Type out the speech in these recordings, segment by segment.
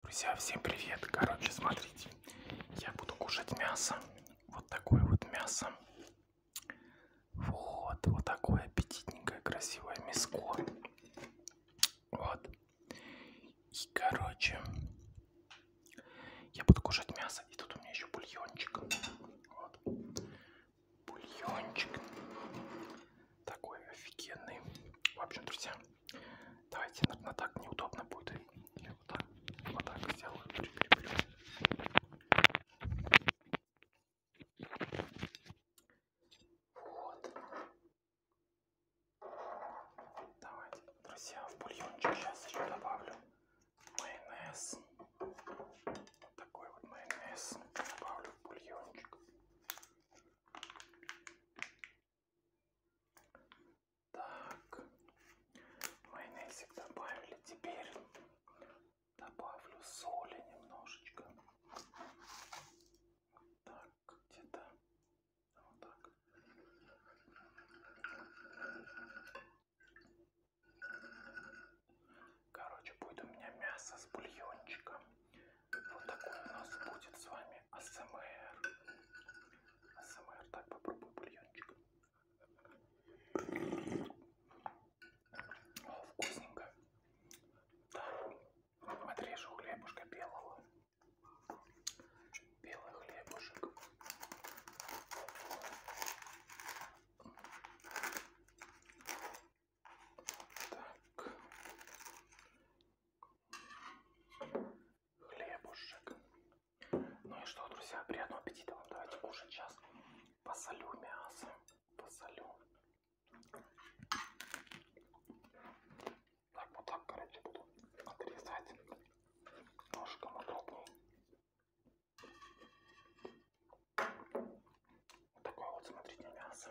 Друзья, всем привет! Короче, смотрите, я буду кушать мясо. Вот такое вот мясо. Вот, вот такое аппетитненькое, красивое мяско. Вот. И, короче, я буду кушать мясо. И тут у меня еще бульончик. Вот. Бульончик. Такой офигенный. В общем, друзья, Давайте, наверное, так неудобно будет. Или вот так, вот так сделаю, прикреплю. Вот. Давайте, друзья, в бульончик сейчас еще добавлю майонез. Вот такой вот майонез добавлю в бульончик. Так, майонезик добавили. Теперь добавлю соли немножечко. Так, где-то вот так. Короче, будет у меня мясо с бульончиком. Вот такой у нас будет с вами АСМР. АСМР, так, попробую бульончик. О, вкусненько. Да. Отрежу хлебушка белого. Белый хлебушек. Так. Хлебушек. Ну и что, друзья, приятного аппетита вам. Давайте кушать сейчас. Посолю мясо. Посолю. Так, вот так, короче, буду отрезать. Ножком удобнее. Вот такое вот, смотрите, мясо.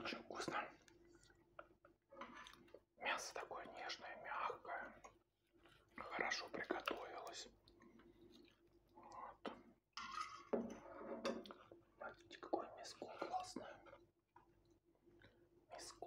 Очень вкусно. Мясо такое нежное, мягкое. Хорошо приготовилось. Вот. Смотрите, какое мяско классное. Мяско.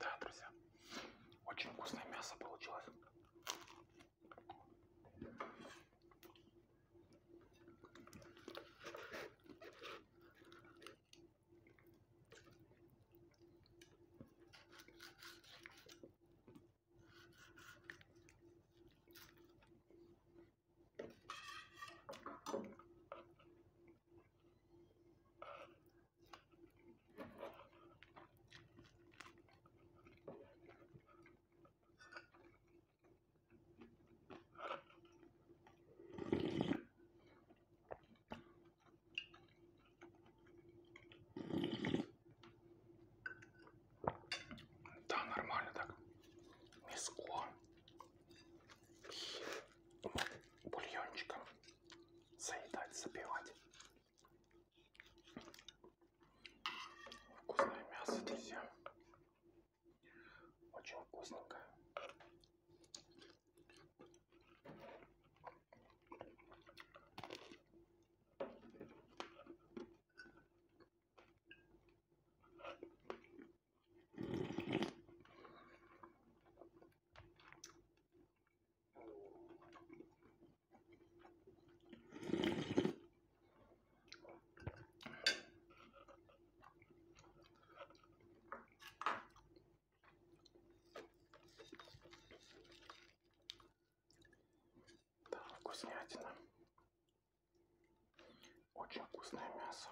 Да, друзья, очень вкусное мясо получилось. Да, нормально так. Мяско и бульончиком заедать, запивать. Вкусное мясо, друзья. Очень вкусненькое. Да, вкуснятина. Очень вкусное мясо.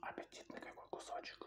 Аппетитный какой кусочек.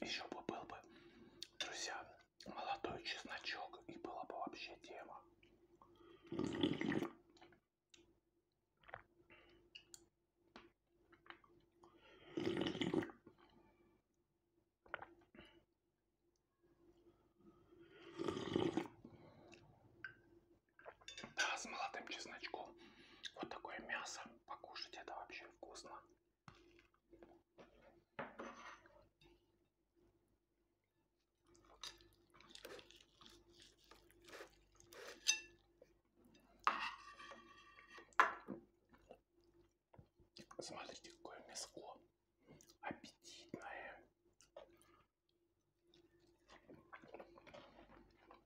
Еще бы был бы, друзья, молодой чесночок, и была бы вообще тема. Да, с молодым чесночком. Вот такое мясо покушать это вообще вкусно. Смотрите, какое мяско аппетитное.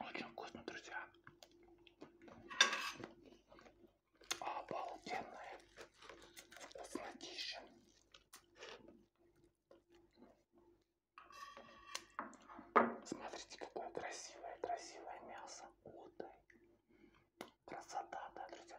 Очень вкусно, друзья. Обалденная вкуснотища. Смотрите, какое красивое, красивое мясо. Утай. Красота, да, друзья?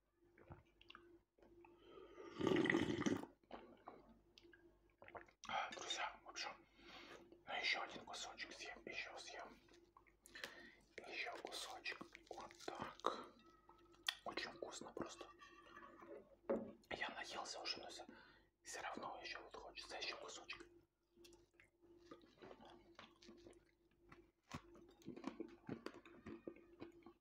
Друзья, в общем, еще один кусочек съем, еще съем. Еще кусочек. Вот так. Очень вкусно просто. Я наелся уже, но все равно еще вот хочется еще кусочек.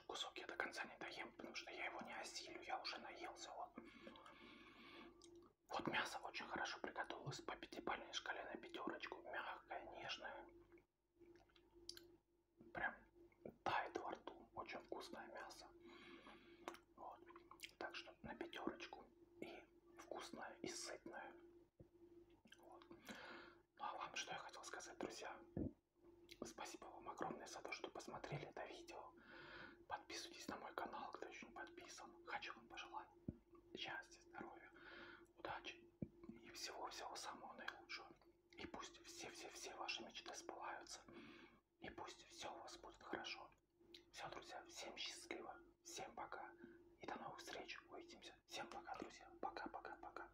дальше кусок я до конца не доем, потому что я его не осилю, я уже наелся. Вот, вот мясо очень хорошо приготовилось по пятибалльной шкале на пятерочку. Мягкое, нежное. Прям тает во рту. Очень вкусное мясо. Вот. Так что на пятерочку. И вкусное, и сытное. Вот. Ну а вам что я хотел сказать, друзья? Спасибо вам огромное за то, что посмотрели это видео. Подписывайтесь на мой канал, кто еще не подписан. Хочу вам пожелать счастья, здоровья, удачи и всего-всего самого наилучшего. И пусть все-все-все ваши мечты сбываются. И пусть все у вас будет хорошо. Все, друзья, всем счастливо, всем пока. И до новых встреч, увидимся. Всем пока, друзья. Пока-пока-пока.